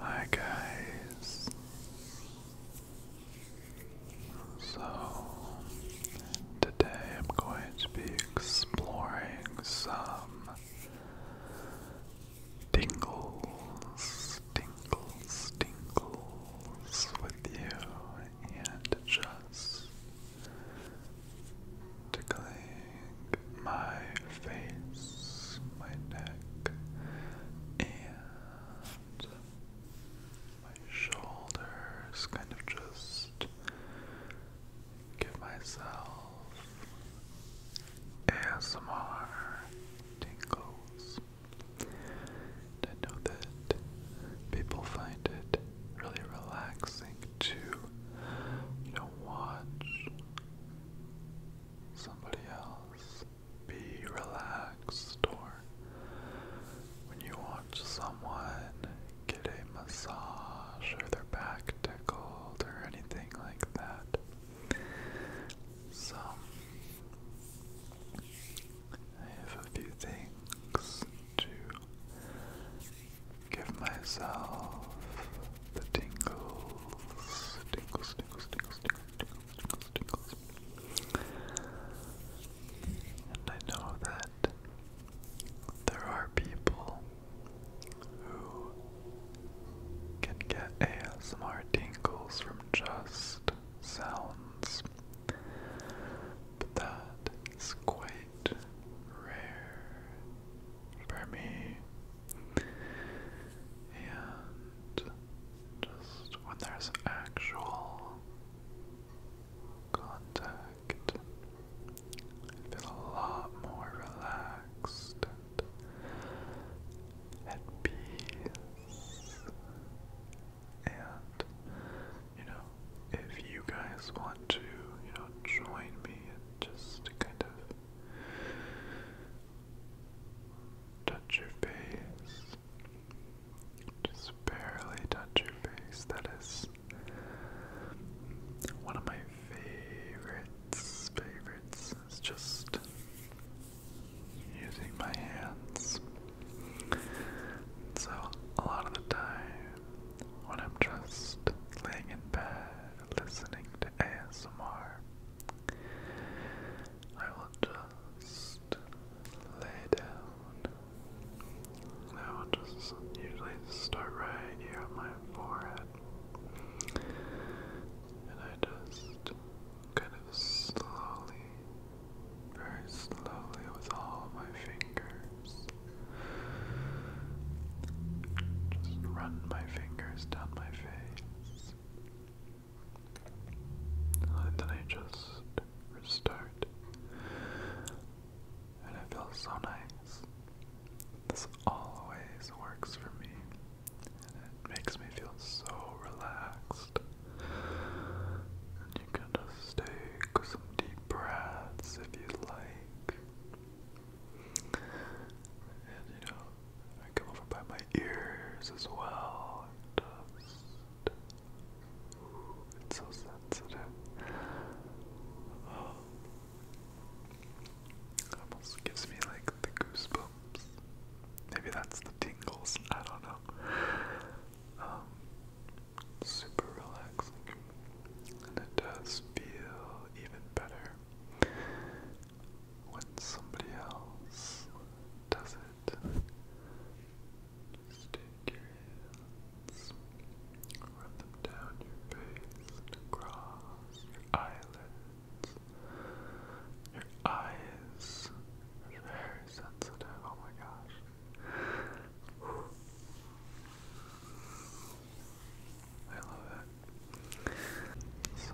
Hi guys. So today I'm going to be exploring some tingles, tingles, tingles with you and just tickling my face, my neck, and my shoulders, kind of just give myself ASMR tingles. And I know that people find it really relaxing to, you know, watch somebody else. Be relaxed, or when you watch someone get a massage or their back tickled or anything like that. So, I have a few things to Give myself the tingles, tingles, tingles, tingles, tingles, tingles, tingles, and I know that there are people who can get ASMR tingles from just sounds, but that is quite rare for me. And just when there's actual contact, I feel a lot more relaxed and at peace. And, you know, if you guys want to, you know, join me just kind of touch your face. Just barely touch your face. That is one of my favorites. Favorites is just using my hands. So, a lot of the time, when I'm just laying in bed listening to ASMR, I will just lay down. And I will just usually start right here on my forehead. And I just kind of slowly, very slowly with all my fingers, just run my fingers down my face. And then I just restart. And it feels so nice. This always works for me. And it makes me feel so relaxed. you can just take some deep breaths if you like. And you know, I come over by my ears as well. it's so sensitive. Oh. Almost gives me like the goosebumps. Maybe that's the tingles. I don't know. Um, super relaxing and it does feel even better when somebody else does it. Just take your hands, run them down your face across your eyelids. Your eyes are very sensitive, oh my gosh. I love that. So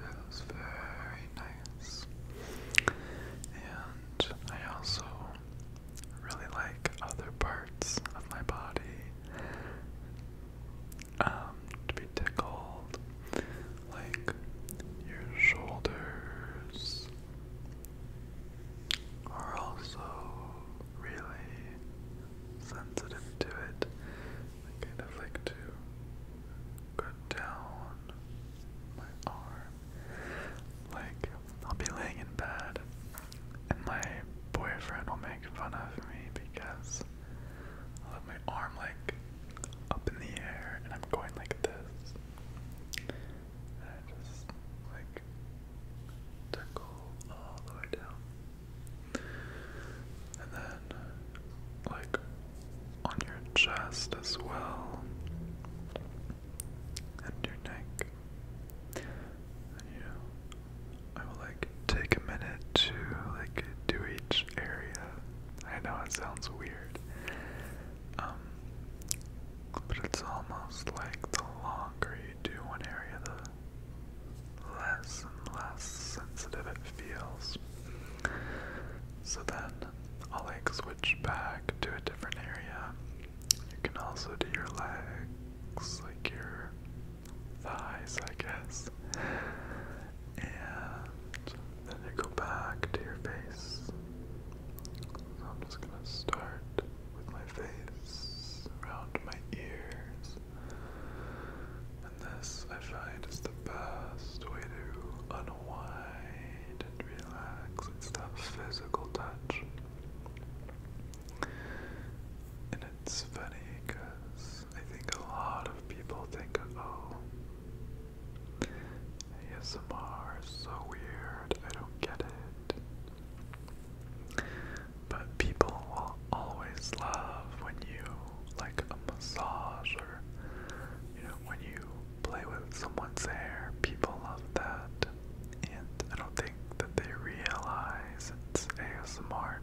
that was very nice. And I also really like other parts of my body um, to be tickled, like your shoulders are also really sensitive to it. I kind of like to cut down my arm. Like, I'll be laying in bed, and my boyfriend will make fun of me because I'll have my arm like up in the air and I'm going like this. And just like tickle all the way down. And then like on your chest as well. And your neck. you know, I will like take a minute to like do each area. I know it sounds weird. Um, but it's almost like the longer you do one area, the less and less sensitive it feels. So then I'll like switch back to a different area. You can also do your legs, like your thighs, I guess. And then you go back to your face. So I'm just gonna start with my face, around my ears. And this, I find, is the best way to unwind and relax. It's that physical touch. And it's funny because I think a lot of people think, oh, ASMR is so weird, I don't get it. But people will always love when you like a massage or you know when you play with someone's hair. People love that, and I don't think that they realize it's ASMR.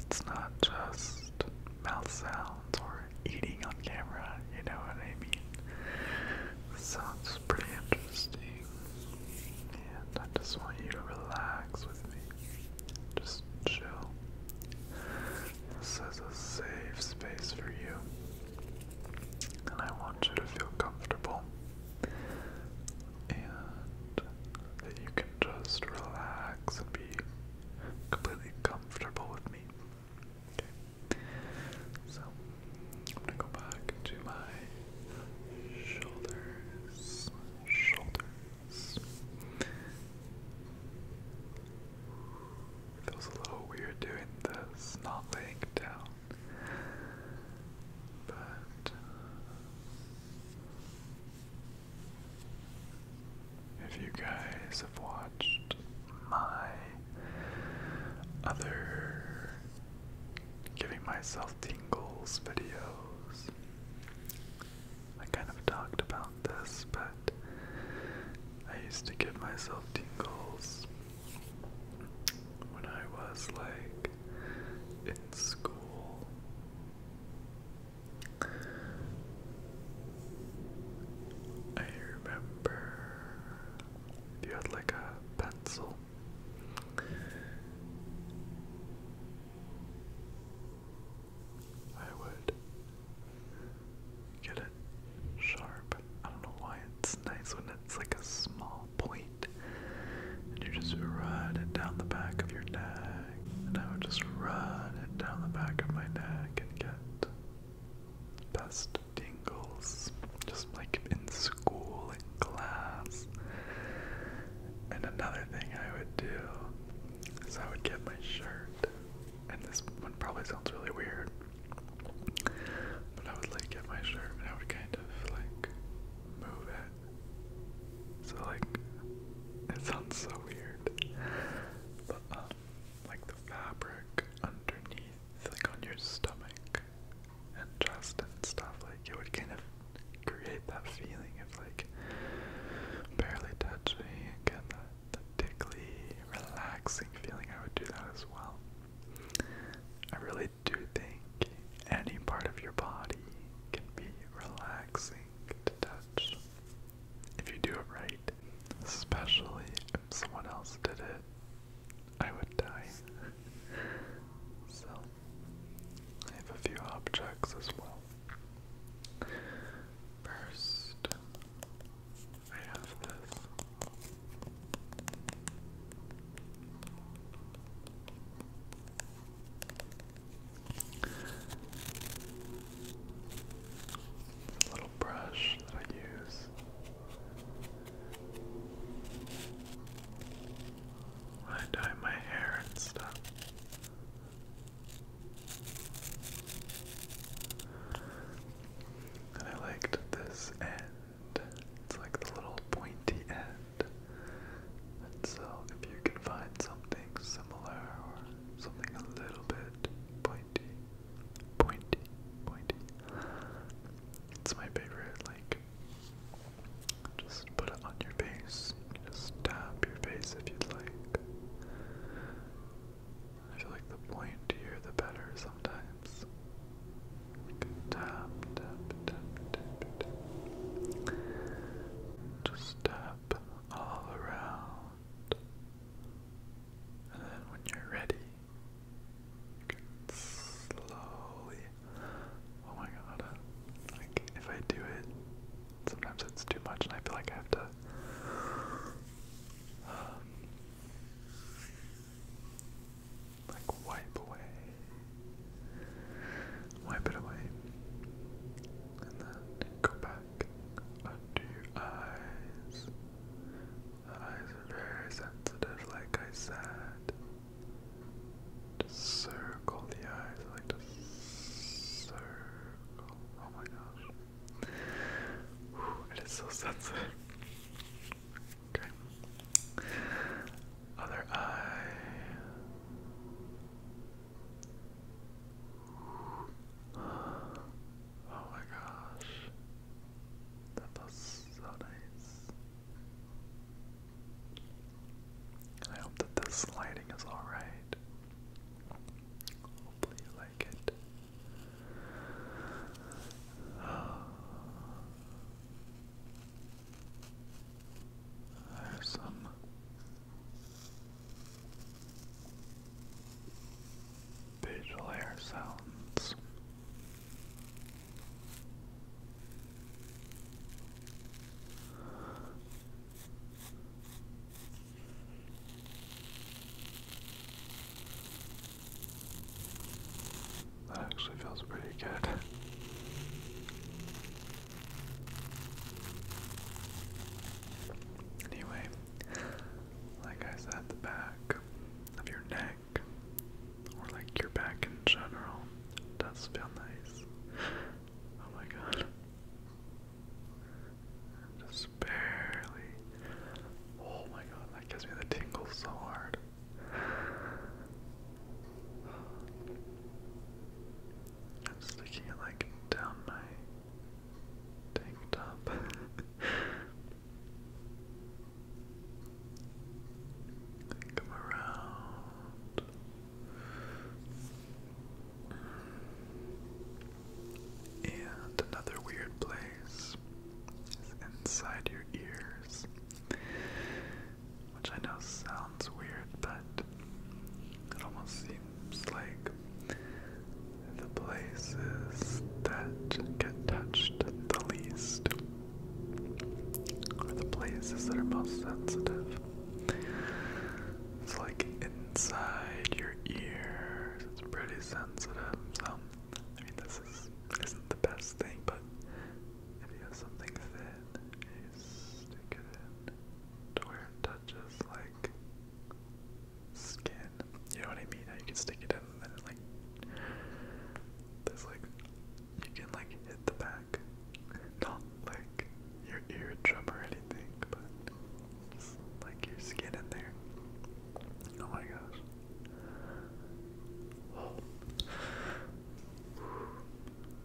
It's not just mouth sounds or eating on camera. You know what I mean? Sounds pretty interesting. And I just want you to relax with me. Just chill. This is a safe space for you. And I want you to feel comfortable. And that you can just relax and be completely comfortable with me. So I'm gonna go back to my shoulders. Shoulders. Feels a little weird doing this, not laying down. But if you guys have watched my other giving myself tingles videos. I kind of talked about this, but I used to give myself tingles when I was like in school. I remember you had like a pencil. I would get it sharp. I don't know why it's nice when it's like a small And you just run it down the back of your neck. And I would just run it down the back of my neck and get Best tingles, just like in school and class. And another thing I would do is I would get my shirt, and this one probably sounds really weird, but I would like get my shirt and I would kind of like move it. So like, it sounds so weird, but um, like the fabric underneath like on your stomach and chest and stuff, like it would kind of create that feeling of like barely touching again the, the tickly, relaxing feeling. I would do that as well. I really do think any part of your body can be relaxing to touch if you do it right especially if someone else did it, I would die. so, I have a few objects as well. First, I have This little brush that I use I dye my hair and stuff. And I liked this end. It's like the little pointy end. And so if you can find something similar or something a little bit pointy, Pointy, pointy. It's my favorite, like, just put it on your face. just tap your face if you'd like. I feel like the pointier the better sometimes. Tap, tap, tap, tap, tap. Just tap all around. And then when you're ready, slowly. Oh my god. Like, if I do it, sometimes it's too much and I feel like I have to. Um, like, wipe away. Wipe it away. And then go back back under your eyes. eyes are very sensitive, like I said. Just circle the eyes, like just circle. Oh my gosh. it is so sensitive. Okay. Other eye. Oh my gosh. That was so nice. I hope that this lighting is alright. Hopefully you like it. There's some Visual air sounds. That actually feels pretty good. Anyway, like I said, the back of your neck, or like your back in general, does feel nice. Oh my god. Just barely. Oh my god, that gives me the tingles so hard. I'm sticking it like down my tank top. Come around. And another weird place is inside your ears, which I know sounds weird, but it almost seems seems like the places that get touched the least are the places that are most sensitive. It's like inside your ears, it's pretty sensitive. So, I mean, this is, not the best thing, but if you have something thin, stick it in to where it touches, like skin. You know what I mean? How you can stick it in and then like there's like you can like hit the back. Not like your eardrum or anything, but just like your skin in there. Oh my gosh. Oh.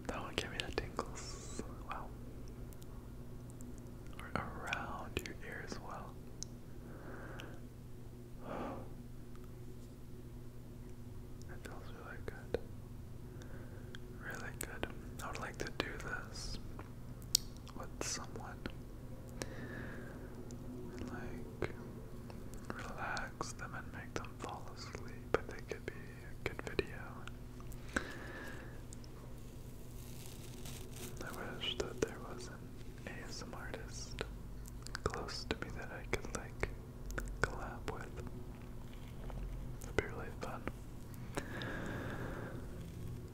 That one gave me the tingles. Wow around your ear as well. That feels really good. Really good. I would like to do this with someone. like relax them and make them fall asleep. I think it be a good video. I wish that there was an ASMR artist close to me that I could like collab with. That'd be really fun.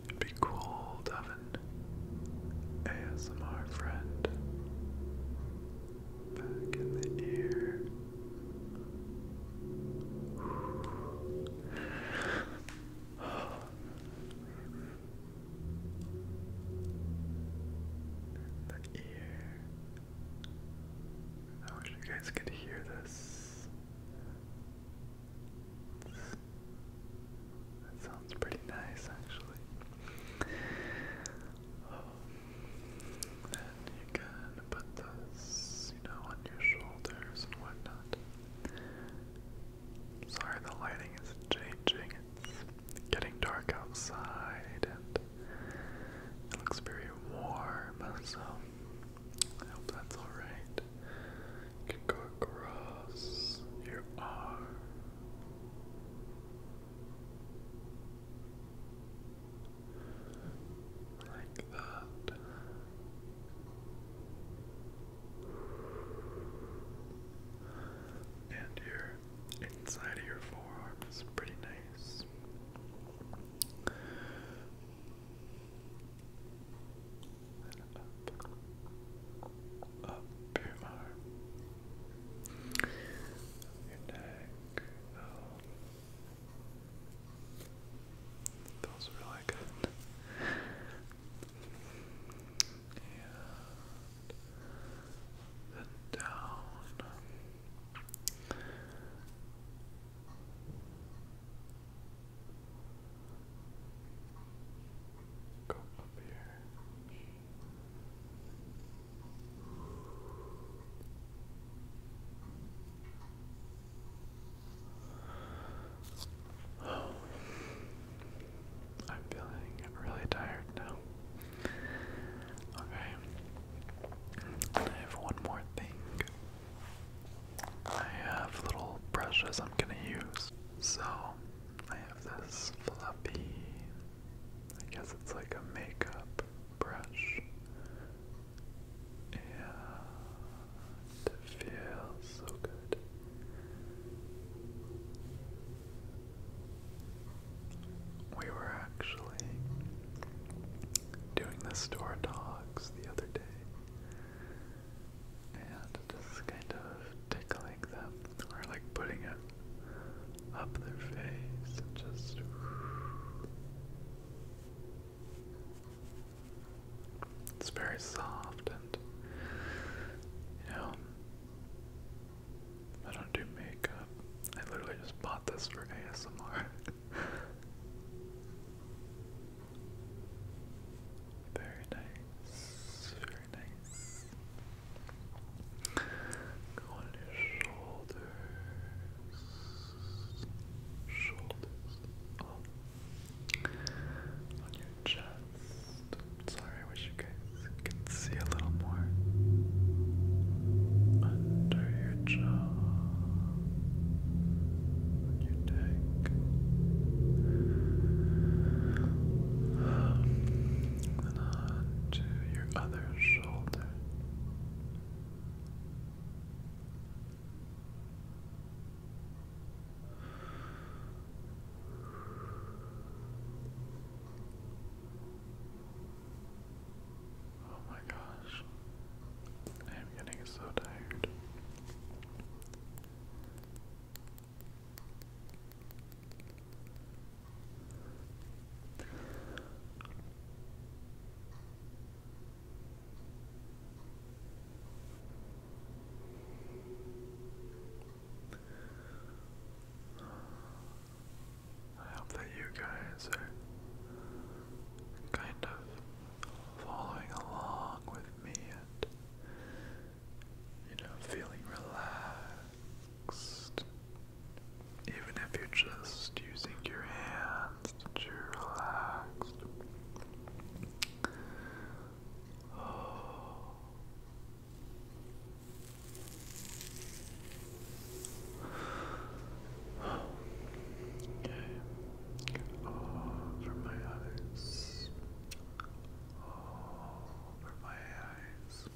It'd be cool to have an ASMR friend back in the ear the ear. I wish you guys could hear this. That sounds pretty nice, actually. and you can put this, you know, on your shoulders and whatnot. Sorry, the lighting is changing. It's getting dark outside and it looks very warm, so I hope that's alright. You can go across your arm. Like that. And your inside of your forearm is pretty nice. up, up your arm, your neck, those are really good. And then down. Go up here. I'm feeling really tired now. Okay, I have one more thing. I have little brushes I'm gonna use. So, I have this fluffy, I guess it's like a makeup brush and it feels so good. We were actually doing the store dogs the other day and just kind of tickling them or like putting it up their face and just it's very soft and, you know, I don't do makeup. I literally just bought this for ASMR. very nice, very nice. on your shoulders shoulders on your chest. Sorry, I wish you guys could see a little more. Under your jaw, on your neck. And on to your other shoulder. Oh my gosh. I am getting so tired. I hope that you guys are kind of following along with me and, you know, feeling relaxed. Even if you're just using your hands relaxed, relaxed. Oh. Okay. Over my eyes. Over my eyes.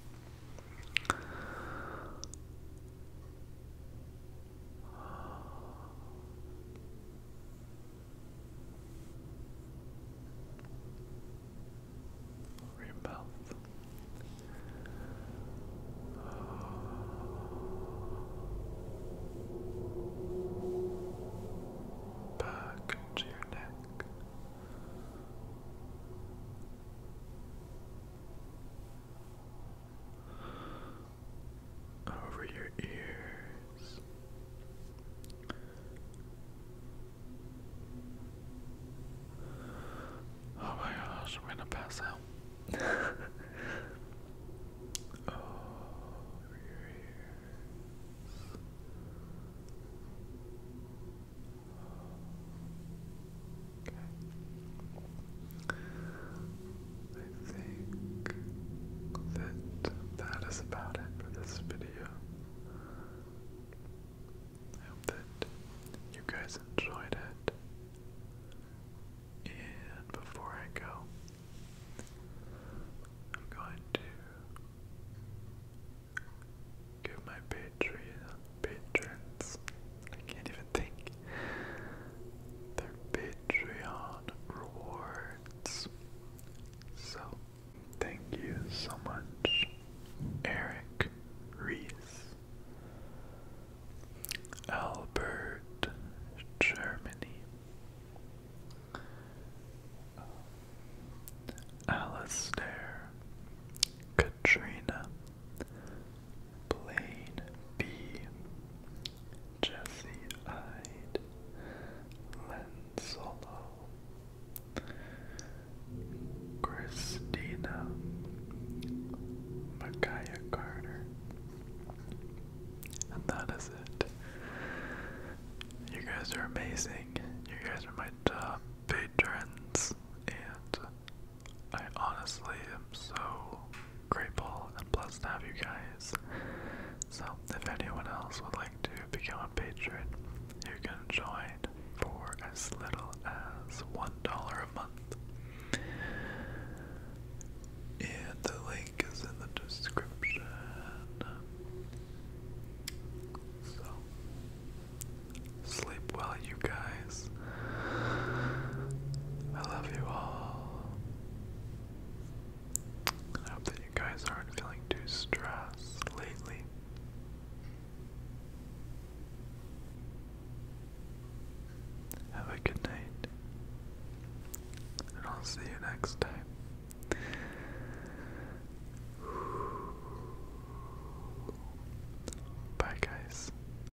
Over your mouth. Back to your neck over your ears. Oh my gosh, I'm gonna pass out. over your ears. Okay. I think that that is about it for this video. I hope that you guys enjoyed it. And before I go, I'm going to give my Patreon patrons. I can't even I Their Patreon rewards. So, thank you so much, Eric Reese, Albert, Germany, Alastair, Katrina, Plane B. Jesse eyed Lenzolo. Christina Micaiah Carter. And that is it. You guys are amazing. You guys are my top patrons. And I honestly am so grateful and blessed to have you guys. So, if anyone else would like to become a patron, you can join for as little as $1 a month. And the link is in the description. So, sleep well, you guys. I love you all. I hope that you guys aren't feeling too stressed lately. Have a good night, and I'll see you next time. Bye, guys.